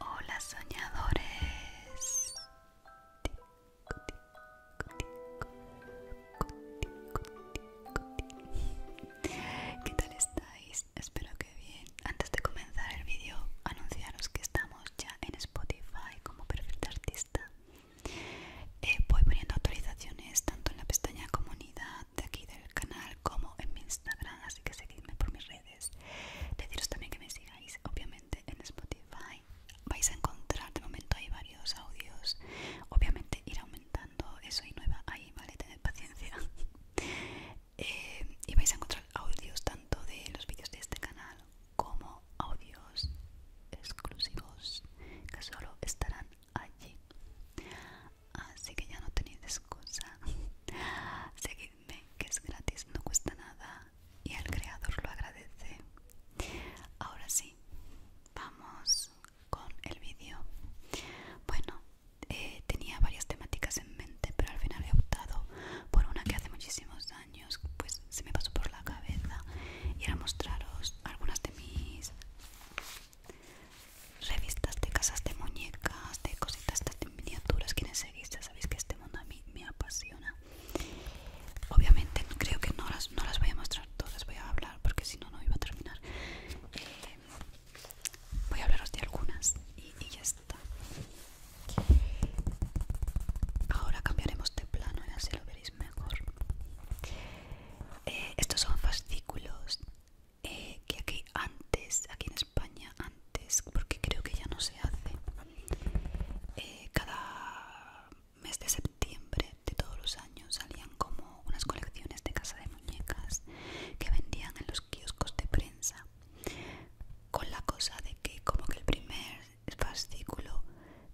Hola soñadores. ¿Qué tal estáis? Espero que bien. Antes de comenzar el vídeo, anunciaros que estamos ya en Spotify como perfil de artista. Eh, voy poniendo actualizaciones tanto en la pestaña comunidad de aquí del canal como en mi Instagram, así que seguidme por mis redes Deciros también que me sigáis, obviamente, en Spotify. Vais a encontrar, de momento hay varios audios. Obviamente ir aumentando, eso y nueva ahí, ¿vale? Tened paciencia. Eh, y vais a encontrar audios tanto de los vídeos de este canal como audios exclusivos que solo estarán allí así que ya no tenéis excusa seguid que es gratis, no cuesta nada y el creador lo agradece. Ahora sí, vamos con el vídeo. Bueno, eh, tenía varias temáticas en mente, pero al final he optado por una que hace muchísimos años pues se me pasó por la cabeza y era mostraros algunas de mis revistas de casas de muñecas, de cositas de este miniaturas quienes seguís ya sabéis que este mundo a mí me apasiona obviamente creo que no las, no las voy a mostrar todas voy a hablar porque si no no iba a terminar eh, voy a hablaros de algunas y, ya está ahora cambiaremos de plano así lo veréis mejor eh, estos son fascículos eh, que aquí antes, aquí en España antes, porque creo que ya no se hace, eh, cada mes de septiembre de todos los años salían como unas colecciones de casa de muñecas que vendían en los kioscos de prensa, con la cosa de que como que el primer fascículo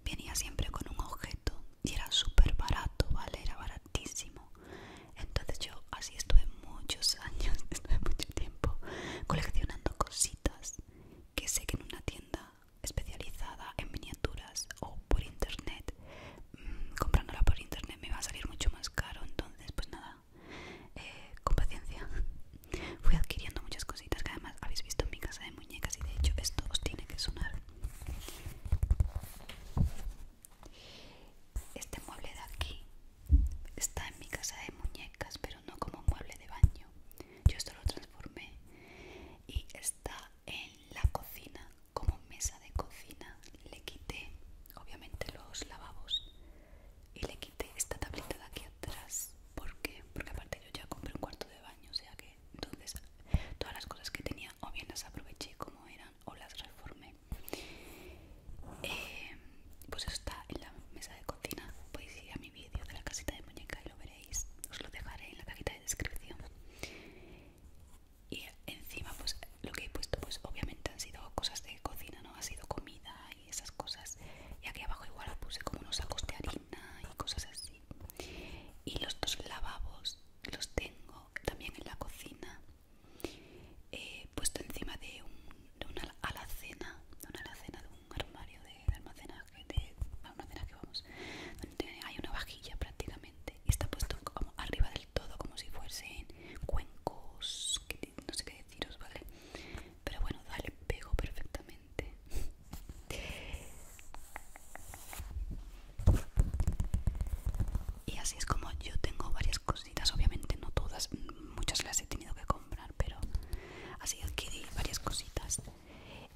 venía siempre con un objeto y era súper barato, ¿vale? Era baratísimo entonces yo así estuve muchos años estuve mucho tiempo coleccionando cositas que sé que en una tienda especializada en miniaturas o por internet mm, comprándola por internet me va a salir mucho más caro entonces pues nada eh, con paciencia fui adquiriendo muchas cositas que además habéis visto en mi casa de muñecas y de hecho esto os tiene que sonar este mueble de aquí Está en mi casa de muñecas, pero no como mueble de baño. Yo esto lo transformé y está en la cocina, como mesa de cocina. Le quité, obviamente, los lavabos y le quité esta tablita de aquí atrás. ¿Por qué? Porque aparte yo ya compré un cuarto de baño, o sea que entonces todas las cosas que tenía o bien las aproveché como eran o las transformé. Eh, pues eso está en la mesa de cocina podéis ir a mi vídeo de la casita de muñeca y lo veréis os lo dejaré en la cajita de descripción y encima pues lo que he puesto pues obviamente han sido cosas de cocina no ha sido comida y esas cosas y aquí abajo igual puse como unos sacos de harina y cosas así y los dos lavabos los tengo también en la cocina eh, puesto encima de, un, una alacena, de una alacena de un armario de, almacenaje, hay una vajilla prácticamente y está puesto como arriba del todo como si fuesen cuencos, no sé qué deciros, ¿vale? Pero bueno, dale pego perfectamente. Y así es como yo tengo varias cosas obviamente no todas, muchas las he tenido que comprar, pero así adquirí varias cositas.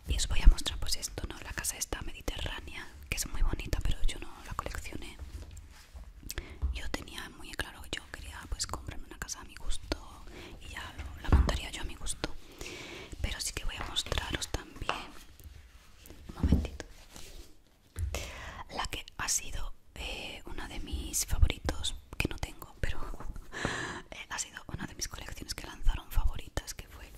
Y os voy a mostrar pues esto, ¿no? La casa está mediterránea, que es muy bonita, pero yo no la coleccioné. Yo tenía muy claro, yo quería pues comprarme una casa a mi gusto y ya la montaría yo a mi gusto. Pero sí que voy a mostraros también... Un momentito la que ha sido eh, una de mis favoritos que no tengo pero eh, ha sido una de mis colecciones que lanzaron favoritas que fue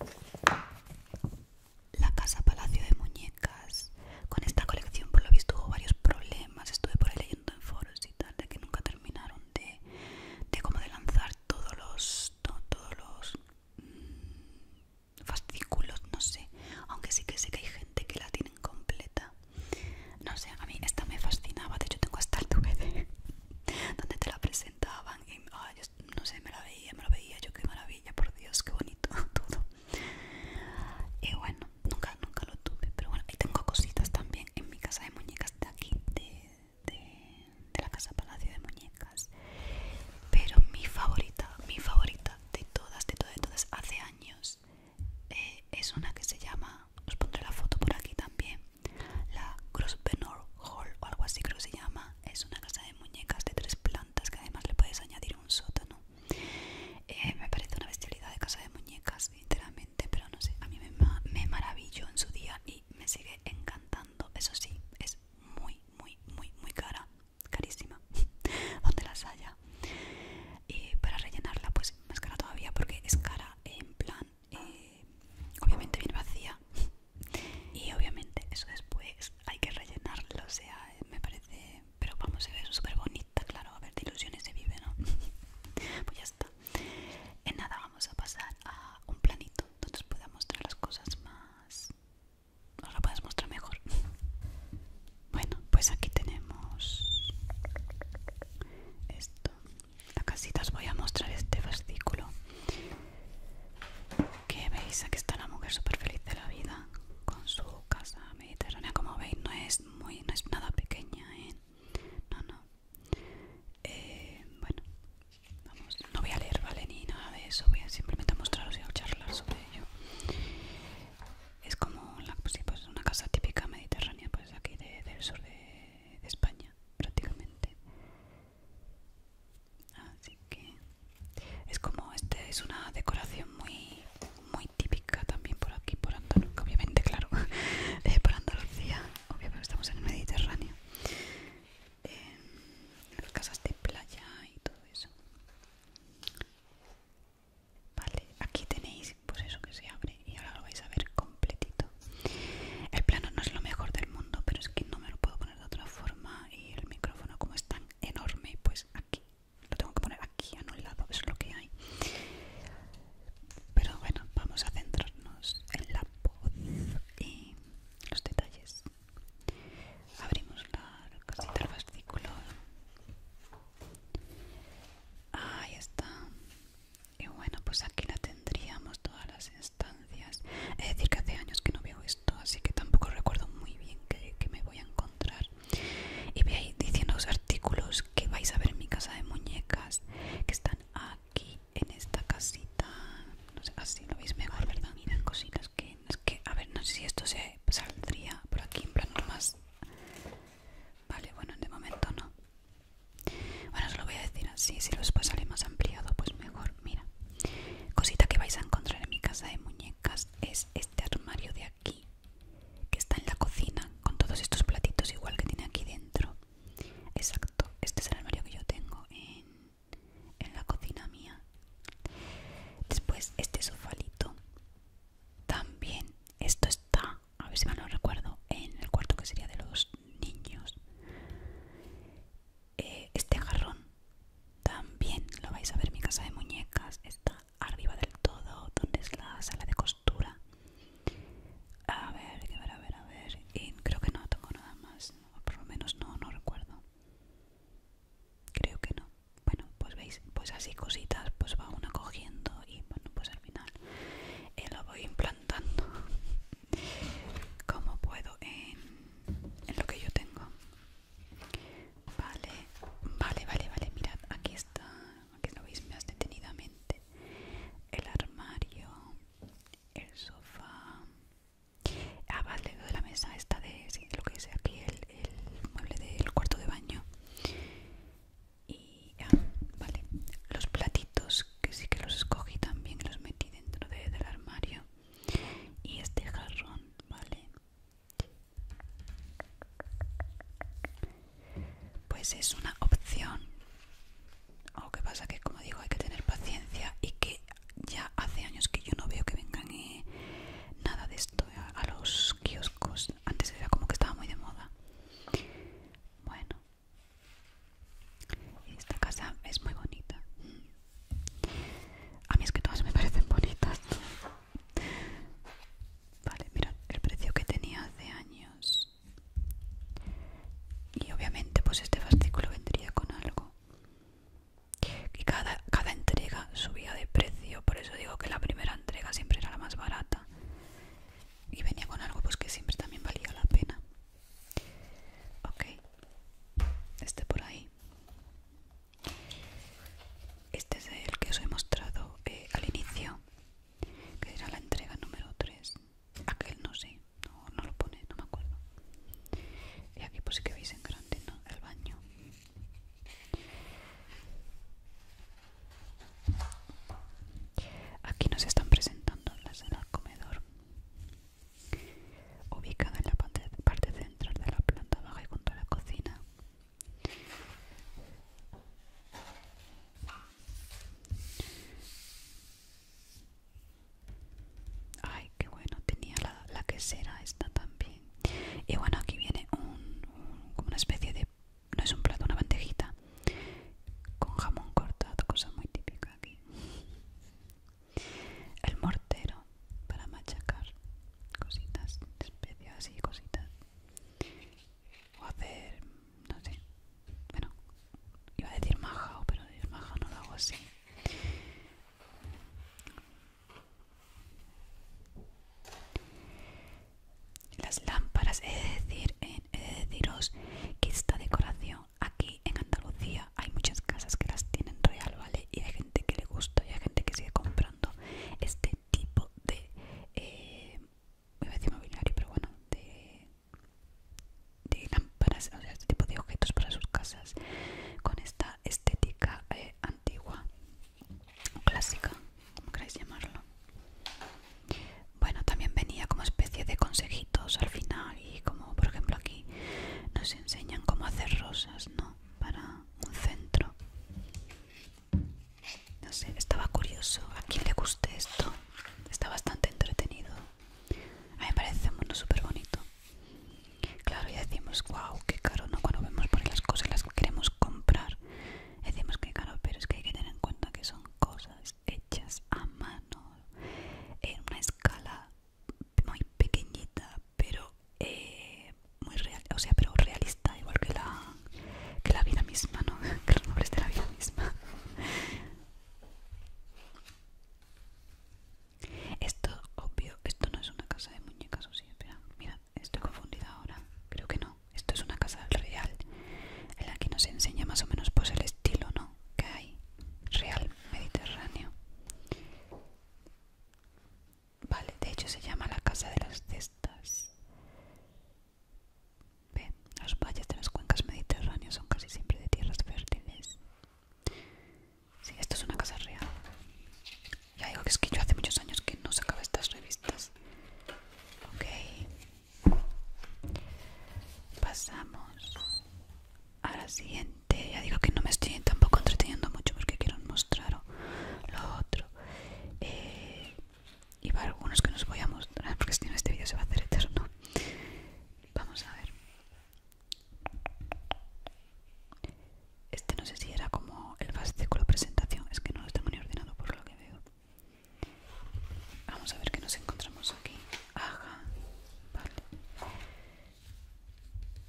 la casa palacio de muñecas con esta colección por lo visto hubo varios problemas estuve por ahí leyendo en foros y tal de que nunca terminaron de, como de lanzar todos los todos los mm, fascículos no sé aunque sí que sé que hay gente que la tienen completa no sé, a mí esta me fascinaba, de hecho tengo hasta el DVD donde te la presentaban y ah, no sé, me la veía, me lo veía, yo qué maravilla, por Dios, qué bonito todo. Y bueno, nunca, nunca lo tuve, pero bueno, ahí tengo cositas también en mi casa de muñecas de aquí, de, de la casa Palacio de Muñecas. Pero mi favorita, mi favorita de todas, de todas, de todas, hace años eh, es una que se llama, os pondré la foto por aquí también, la Grosvenor Hall o algo así creo que se llama, es una casa de muñecas de tres plantas que además le puedes añadir un sótano. Eh, me parece una bestialidad de casa de muñecas, literalmente pero no sé, a mí me, me maravilló en su día y me sigue encantando, eso sí, es muy, muy, muy, muy cara, carísima, donde las haya y para rellenarla pues más cara todavía porque es cara en plan eh, obviamente viene vacía y obviamente eso después hay que rellenarlo o sea eh, me parece pero vamos a ver súper bonita claro a ver de ilusiones se vive no pues ya está en nada vamos a pasar a un planito donde os pueda mostrar las cosas más os la puedas mostrar mejor Bueno, pues aquí tenemos esto. la casita. os voy a mostrar este versículo Que veis, aquí está la mujer súper feliz de la vida con su casa mediterránea. Como veis, no es muy, no es nada pequeña, ¿eh? No, no. Eh, bueno, vamos. No voy a leer, ¿vale? Ni nada de eso. Voy a simplemente mostraros y a charlar sobre ello es como la, pues pues una casa típica mediterránea, pues aquí de, del sur de, España, prácticamente. Así que es como, este es una decoración muy, muy típica también por aquí, por Andalucía, obviamente, claro, eh, por Andalucía, obviamente estamos en el Mediterráneo. Eh, las casas de playa y todo eso Vale, aquí tenéis pues eso que se abre y ahora lo vais a ver completito. El plano no es lo mejor del mundo, pero es que no me lo puedo poner de otra forma y el micrófono como es tan enorme, pues aquí. Lo tengo que poner aquí, a un lado, es lo que hay. Pero bueno, vamos a centrarnos en la voz y los detalles. Abrimos la cosita, del fascículo ahí está y bueno pues aquí la tendríamos todas las instancias es decir que hace años que no veo esto así que tampoco recuerdo muy bien que, me voy a encontrar y voy diciendo los artículos que vais a ver en mi casa de muñecas que están aquí en esta casita no sé, así lo veis mejor verdad Mira, cositas que, que a ver no sé si esto se saldría por aquí en plan, más Vale, bueno, de momento no. Bueno, se lo voy a decir así, si después sale más ampliado, pues mejor. Mira, cosita que vais a encontrar en mi casa de muñecas es este armario de aquí, que está en la cocina, con todos estos platitos igual que tiene aquí dentro. Exacto, este es el armario que yo tengo en, en la cocina mía. Después este sofalito también esto está, a ver si mal lo recuerdo, en el cuarto que sería de los niños. Eh, este jarrón también lo vais a ver mi casa de muñecas. Está arriba del todo, donde es la sala de costura. A ver, a ver, a ver, creo que no tengo nada más. O por lo menos no, no recuerdo. Creo que no bueno pues veis pues así cositas pues va uno cogiendo y bueno pues al final eh, lo voy implantando como puedo en, en lo que yo tengo vale vale vale vale mirad aquí está aquí lo veis más detenidamente el armario el sofá Ah, vale, lo de la mesa esta de lo que es aquí, el, el mueble del cuarto de baño y ya, vale los platitos que sí que los escogí también los metí dentro del armario y este jarrón vale pues es una opción Aunque pasa que como digo hay que tener paciencia y que ya hace años que yo no veo que vengan eh, nada de esto a, a los kioscos antes era como que estaba muy de moda. Bueno. Esta casa es muy bonita. A mí es que todas me parecen bonitas. Vale, mira el precio que tenía hace años. Y obviamente pues este fascículo vendría con algo. Y cada, cada entrega subía de precio, por eso digo que la primera entrega siempre era la más barata y venía con algo pues que siempre también valía la pena. Ok, este por ahí. Este es el que os he mostrado eh, al inicio, que era la entrega número 3. Aquel no sé, no, lo pone, no me acuerdo. Y aquí pues sí que veis en grande el baño. Aquí nos están presentando la sala comedor, ubicada en la parte, central de la planta baja y junto a la cocina. Ay, qué bueno, tenía la, quesera esta también. Y bueno, aquí viene una especie de no es un plato, una bandejita con jamón cortado, cosa muy típica aquí. El mortero para machacar cositas, especias y cositas. O hacer, no sé, bueno, iba a decir majao, pero el majao no lo hago así. Las lámparas, he de, decir, deciros que esta decoración aquí en Andalucía hay muchas casas que las tienen real, ¿vale? Y hay gente que le gusta y hay gente que sigue comprando este tipo de... Eh, mobiliario, pero bueno, de, de lámparas, o sea, este tipo de objetos para sus casas con esta estética eh, Antigua antigua, clásica, como queráis llamarlo. Bueno, también venía como especie de consejitos al final y como por ejemplo aquí nos enseñan cómo hacer rosas, ¿no? Para un centro. No sé, estaba curioso. ¿A quién le guste esto? Está bastante entretenido. A mí me parece un mundo súper bonito. Claro, ya decimos, wow, qué caro, ¿no? Cuando vemos por las cosas las que queremos comprar Decimos que caro, pero es que hay que tener en cuenta que son cosas hechas a mano en una escala muy pequeñita, pero eh, muy real, o sea, pero realista, igual que la la vida misma, ¿no? Que los nombres de la vida misma. Esto, obvio, esto no es una casa de muñecas, o sí, espera, mira. Estoy confundida ahora. Creo que no. Esto es una casa real. En la que nos enseña más o menos pues el estilo, ¿no? Que hay. Real mediterráneo. Vale, de hecho se llama la casa de las cestas. Ve, los valles de las cuencas mediterráneas son casi siempre de tierras fértiles. Sí, esto es una casa real. Ya digo que es que yo hace muchos años que no sacaba estas revistas. Ok. Pasamos a la siguiente. Ya digo que no me estoy tampoco entreteniendo mucho porque quiero mostraros lo otro. Eh, y para algunos que nos voy a mostrar porque si no este vídeo se va a hacer eterno. Vamos a ver. Este no sé si era como el la presentación, es que no lo tengo ni ordenado por lo que veo. Vamos a ver qué nos encontramos aquí.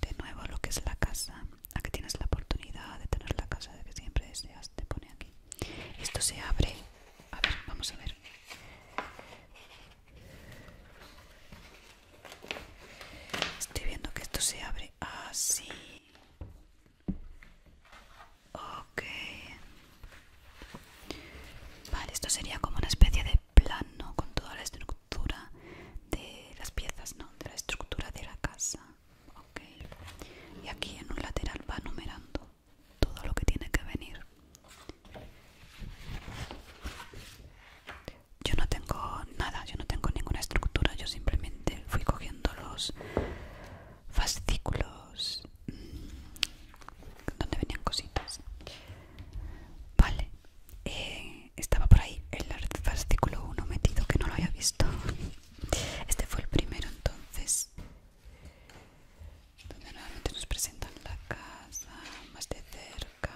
De nuevo lo que es la casa. Aquí tienes la oportunidad de tener la casa de que siempre deseas, te pone aquí. Esto se abre. A ver, vamos a ver. Estoy viendo que esto se abre así. Ok. Vale, esto sería como una especie de plano con toda la estructura de las piezas, ¿no? De la estructura de la casa. Y aquí en un lateral va numerando todo lo que tiene que venir. Yo no tengo nada, yo no tengo ninguna estructura, yo simplemente fui cogiendo los fascículos mm, donde venían cositas. Vale, eh, estaba por ahí el fascículo 1 metido que no lo había visto. Este fue el primero entonces, donde nuevamente nos presentan la casa más de cerca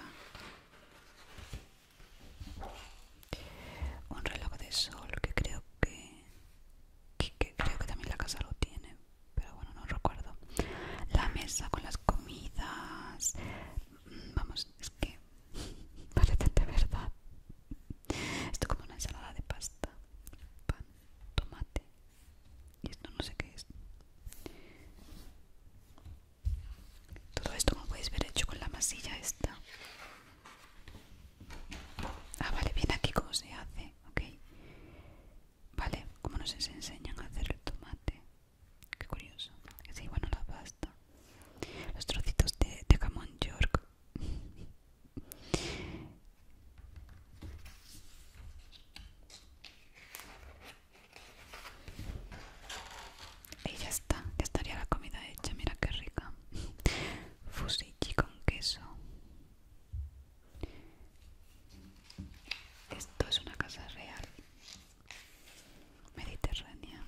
un reloj de sol que creo que, creo que también la casa lo tiene pero bueno no recuerdo la mesa con las comidas mm, vamos es que parece de verdad esto como una ensalada de pasta pan tomate y esto no sé qué es todo esto como podéis ver hecho con la masilla esta Ah, vale, viene aquí cómo se hace, ok. Vale, como nos enseñan a hacer el tomate. Qué curioso. Sí, bueno, la pasta. Los trocitos de, de york. Y ya está, ya estaría la comida hecha, mira qué rica. Fusichi con queso. Esto es una casa real mediterránea.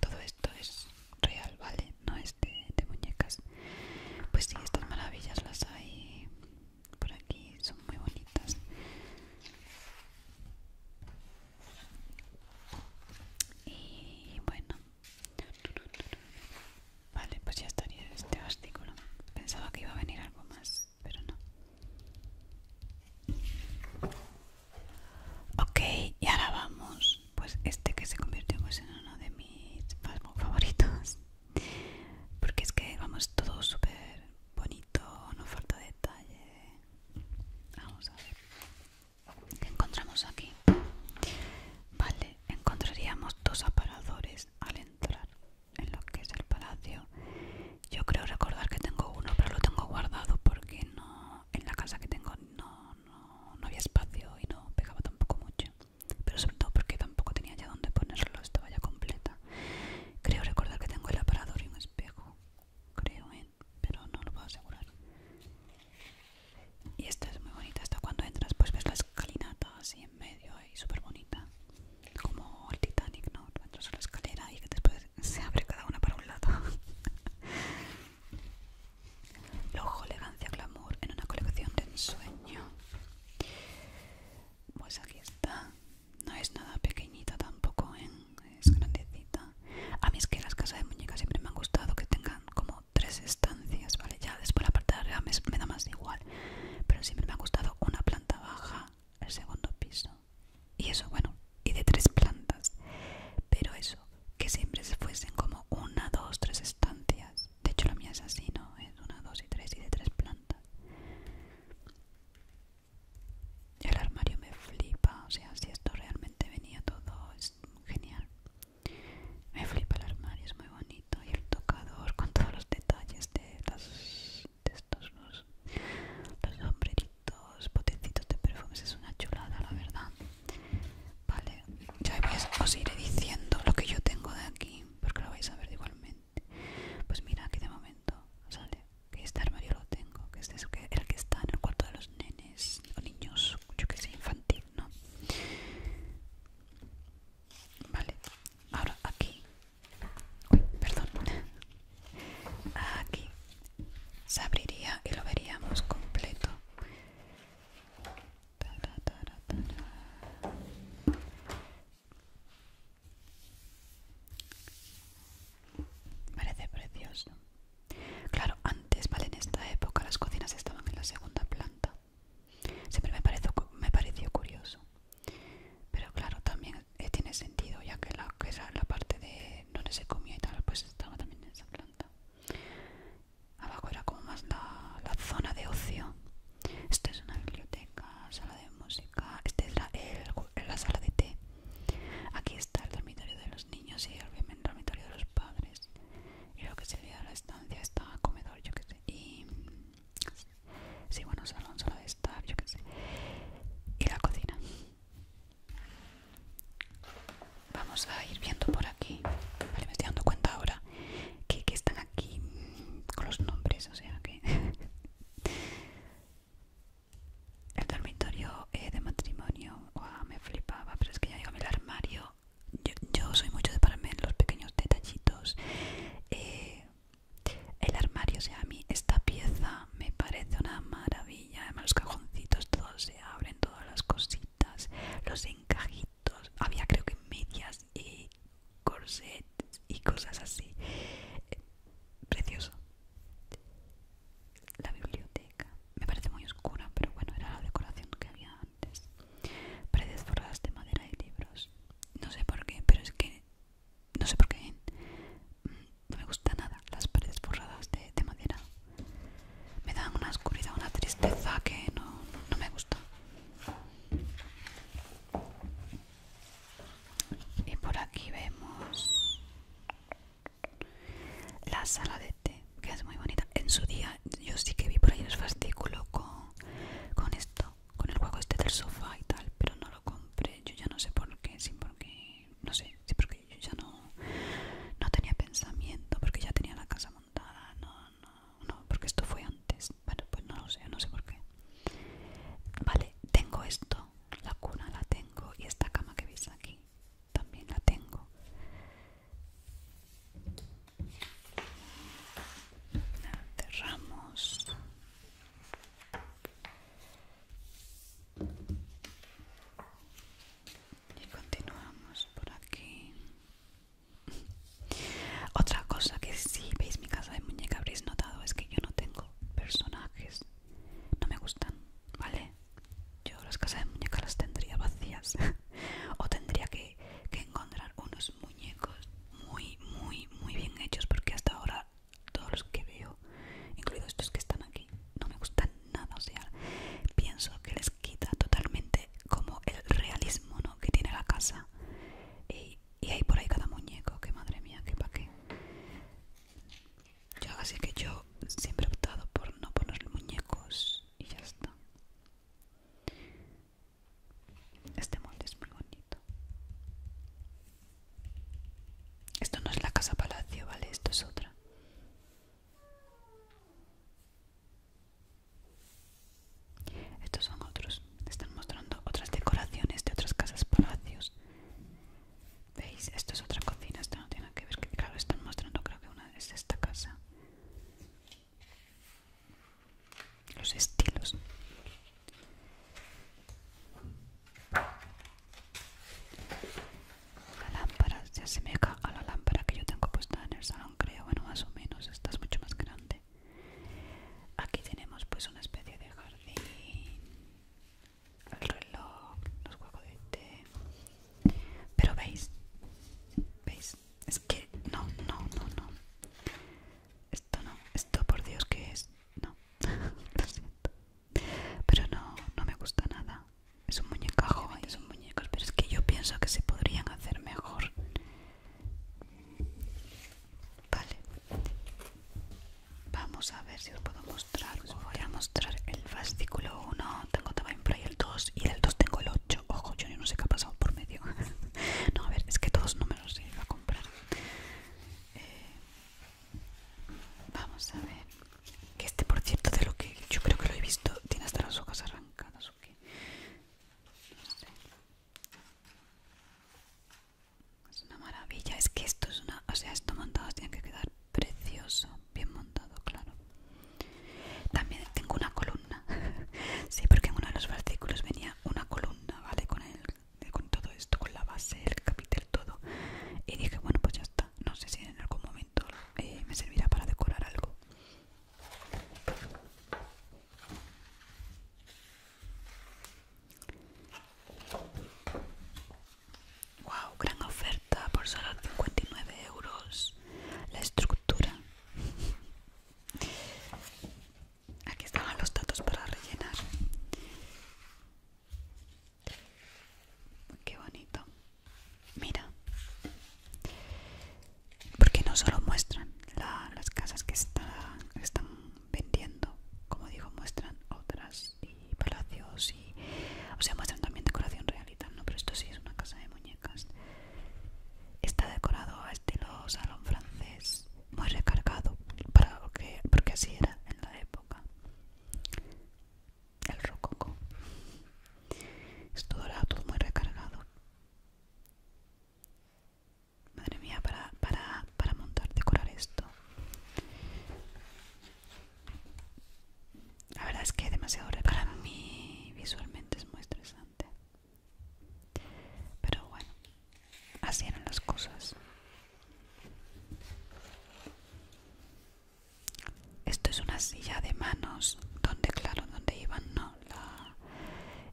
Todo esto es real, ¿vale? No es de muñecas. Pues sí, estas maravillas las hay por aquí, son muy bonitas. Y bueno, vale, pues ya estaría este artículo. Pensaba que iba a venir algo más, pero no. Ok, y ahora vamos. Pues este que se convirtió pues en uno de mis favoritos. Porque es que vamos todo súper bonito, no falta detalle. Vamos a ver. ¿Qué encontramos aquí? Vale, encontraríamos dos aparadores al entrar en lo que es el palacio. Yo creo recordar que tengo uno, pero lo tengo guardado porque no en la casa que tengo no, había espacio y no pegaba tampoco mucho. Pero sobre todo porque tampoco tenía ya donde ponerlo, estaba ya completa. Creo recordar que tengo el aparador y un espejo creo en, pero no lo puedo asegurar. Y esta es muy bonita, hasta cuando entras pues ves la escalinata así en medio y súper bonita. Como el Titanic, ¿no? Entras a la escalera y que después se abre cada una para un lado. Lojo, elegancia, glamour en una colección de ensueño. Pues aquí está. No es nada pequeñita tampoco, ¿eh? es grandecita. A mí es que las casas de muñecas siempre me han gustado que tengan como tres estancias, ¿vale? Ya después la parte de arriba me, me da más igual. Pero siempre me ha gustado una planta baja, el segundo piso. Y eso, bueno, y de tres plantas. Pero eso, que siempre se fuesen como una, dos, tres estancias. De hecho la mía es así, ¿no? Es una, dos y tres y de tres plantas. El armario me flipa, o sea, si esto realmente venía todo genial. Me flipa el armario, es muy bonito. Y el tocador con todos los detalles de, las, los, sombreritos, potecitos de perfumes. Es una chulada, la verdad. Vale, ya os iré diciendo lo que yo tengo de aquí, porque lo vais a ver igualmente. Pues mira, aquí de momento sale que este armario lo tengo, que este es el que está en el cuarto de los nenes o niños yo que sé, infantil, ¿no? Vale, ahora aquí, uy, perdón, aquí se abriría y lo veríamos completo. Parece precioso. Claro, antes, ¿vale? En esta época las cocinas estaban en la segunda planta. Siempre me pareció, curioso. Pero claro, también eh, tiene sentido, ya que la, que la parte de donde se comía y tal, pues estaba también en esa planta. Abajo era como más la, zona de ocio. Esta es una biblioteca, sala de música. Esta es la sala de té. Aquí está el dormitorio de los niños y el dormitorio de los padres. Y lo que sería la estancia está comedor, yo sé. Y. Sí, bueno, salón solo de yo sé. Y la cocina. Vamos a ir viendo por aquí. Vale, me estoy dando cuenta ahora que, que están aquí con los nombres, o sea que. el dormitorio eh, de matrimonio me flipaba pero es que ya digo el armario yo, soy mucho de pararme los pequeños detallitos eh, el armario o sea a mí esta pieza me parece una maravilla además los cajoncitos todos se abren todas las cositas los encajitos había creo que medias y corsets y cosas así eh, precioso la biblioteca. Me parece muy oscura, pero bueno, era la decoración que había antes. Paredes forradas de madera y libros. No sé por qué, pero es que. No sé por qué. Mm, no me gusta nada las paredes forradas de, madera. Me dan una oscuridad, una tristeza que no, no me gusta. Y por aquí vemos la sala de té, que es muy bonita. En su día yo sí que vi por ahí el fastículo con, esto, con el juego este del sofá y tal, pero no lo compré. Yo ya no sé por qué, sí porque, no sé, Si porque yo ya no, no tenía pensamiento, porque ya tenía la casa montada, no, no, no, porque esto fue antes. Bueno, pues no lo sé, no sé por qué. Vale, tengo esto, la cuna la tengo y esta cama que veis aquí también la tengo la cerramos y continuamos por aquí otra cosa que si veis mi casa de muñeca habréis notado es que yo no tengo personajes no me gustan, ¿vale? Yo las casas de muñecas las tendría vacías o tendría que, encontrar unos muñecos muy, muy, muy bien hechos porque hasta ahora todos los que veo, incluidos estos que están aquí, no me gustan nada, o sea, pienso que les quita totalmente como el realismo ¿no? que tiene la casa y, y hay por ahí cada muñeco, que madre mía, que pa' qué yo, así que yo siempre he optado por no poner muñecos y ya está. Este molde es muy bonito. Esto no es la casa palacio, ¿vale? Esto es otra. Estos son otros. Están mostrando otras decoraciones de otras casas palacios. ¿Veis? Esto es otra cocina, esto no tiene que ver. Que, claro, están mostrando, creo que una es esta casa. Los estilos. La lámpara, se asemeja a la lámpara que yo tengo puesta en el salón, creo. Bueno, más o menos, esta es mucho más grande. Aquí tenemos pues una especie de jardín el reloj, los juegos de té. Pero veis, veis, es que no, no, no, no. Esto no, esto por Dios que es, no, lo siento. Pero no, no me gusta nada. Es un muñecajo, es ¿eh? un muñecos, pero es que yo pienso que se podrían hacer mejor. Vale, vamos a ver si os puedo mostrar. mostrar el fascículo 1, tengo también para el 2 y el 2 tengo el 8. Ojo, yo no sé qué ha pasado por medio. no, a ver, es que todos no me los iba a comprar. Eh, vamos a ver. Que este, por cierto, de lo que yo creo que lo he visto, tiene hasta las hojas arrancadas o Es una maravilla, es que esto es una. O sea, esto montado tiene que quedar precioso, bien montado, claro. También tengo una columna, sí, porque en uno de los artículos venía una columna, ¿vale? Con, el, con todo esto, con la base, el capitel, todo. Y dije, bueno, pues ya está. No sé si en algún momento eh, me servirá para decorar algo. Wow, gran oferta por solo 59 euros. La estructura. Aquí están los datos para rellenar. Qué bonito. Mira. Porque no solo muestran las casas que están vendiendo, como digo, muestran otras y palacios y o sea muestran también decoración real y tal no pero esto sí es una casa de muñecas está decorado a estilo salón francés muy recargado para que porque así era en la época el rococo esto dorado todo muy recargado madre mía para para para montar decorar esto la verdad es que es demasiado para mí visualmente es muy estresante. Pero bueno, así eran las cosas. Esto es una silla de manos donde, claro, donde iban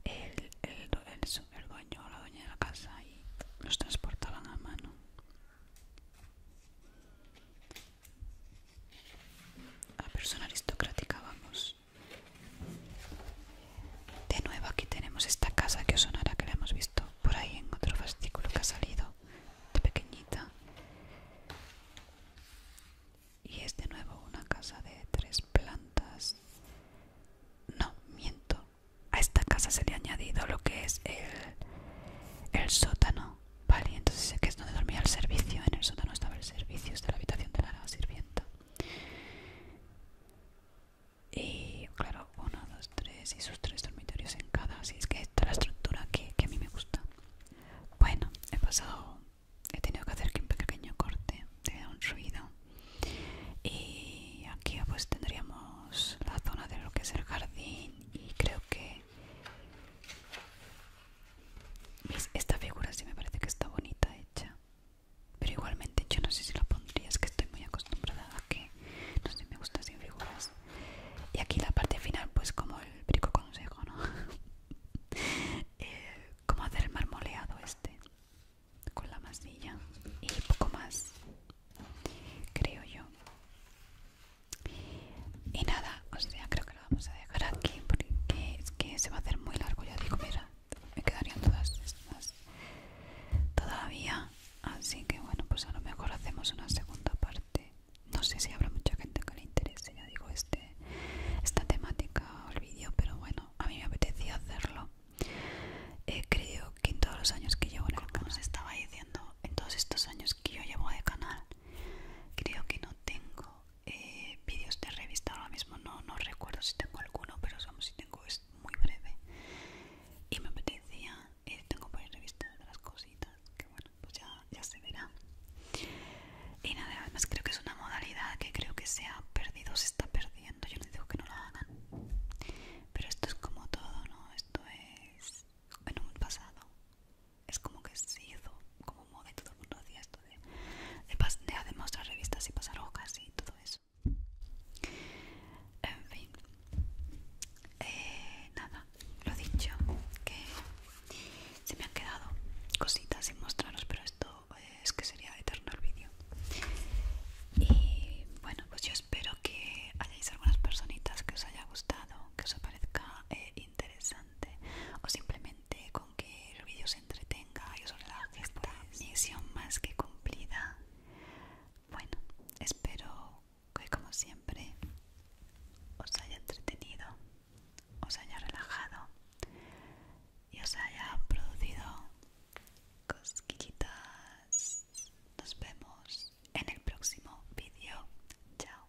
el, el, el dueño o la dueña de la casa y los transportaban a mano a persona aristocrática vamos de nuevo aquí tenemos esta casa que os sonará que la hemos visto por ahí en otro fascículo que ha salido de pequeñita y es de nuevo una casa de tres plantas no, miento a esta casa se le ha añadido lo que es el sótano vale, entonces sé que es donde dormía el servicio. En el sótano estaba el servicio, de la habitación de la sirvienta. Y claro, uno, dos, tres y sus tres dormitorios en cada. Así es que esta es la estructura que, a mí me gusta. Bueno, he pasado, he tenido que hacer aquí un pequeño corte, da un ruido. Y aquí pues tendríamos la zona de lo que es el jardín y creo que esta figura sí me parece que está bonita hecha. Pero igualmente yo no sé si la pondría, es que estoy muy acostumbrada a que no sé, me gusta sin figuras. Y aquí la parte final, pues como el brico consejo, ¿no? Eh, como hacer el marmoleado este con la masilla y poco más, creo yo. Y nada, o sea, creo que lo vamos a dejar aquí porque es que se va a hacer muy largo. Ya digo, mira, me quedarían todas estas todavía. Así que bueno, pues a lo mejor hacemos una segunda parte. No sé si habrá mucha gente que le interese, ya digo, este esta temática o el vídeo, pero bueno, a mí me apetecía hacerlo. Eh, creo que en todos los años que llevo en el canal, estaba diciendo en todos estos años que yo llevo de canal creo que no tengo eh, vídeos de revista ahora mismo no, no recuerdo si tengo alguno pero si tengo es muy breve y me apetecía eh, tengo por revistas de las cositas que bueno pues ya, ya se verá y nada además creo que es una modalidad que creo que se ha perdido se está perdiendo yo les digo que no la hagan pero esto es como todo no esto es en un pasado es como que se hizo como moda todo el mundo hacía esto de, de, de revistas y pasar hojas y todo eso. En fin, eh, nada, lo dicho, que se me han quedado cositas sin mostraros, pero esto eh, es que sería eterno el vídeo. Y bueno, pues yo espero que hayáis algunas personitas que os haya gustado, que os aparezca eh, interesante o simplemente con que el vídeo se entretenga y os relaje esta pues. misión más que cumplida bueno espero que como siempre os haya entretenido os haya relajado y os haya producido cosquillitas nos vemos en el próximo vídeo chao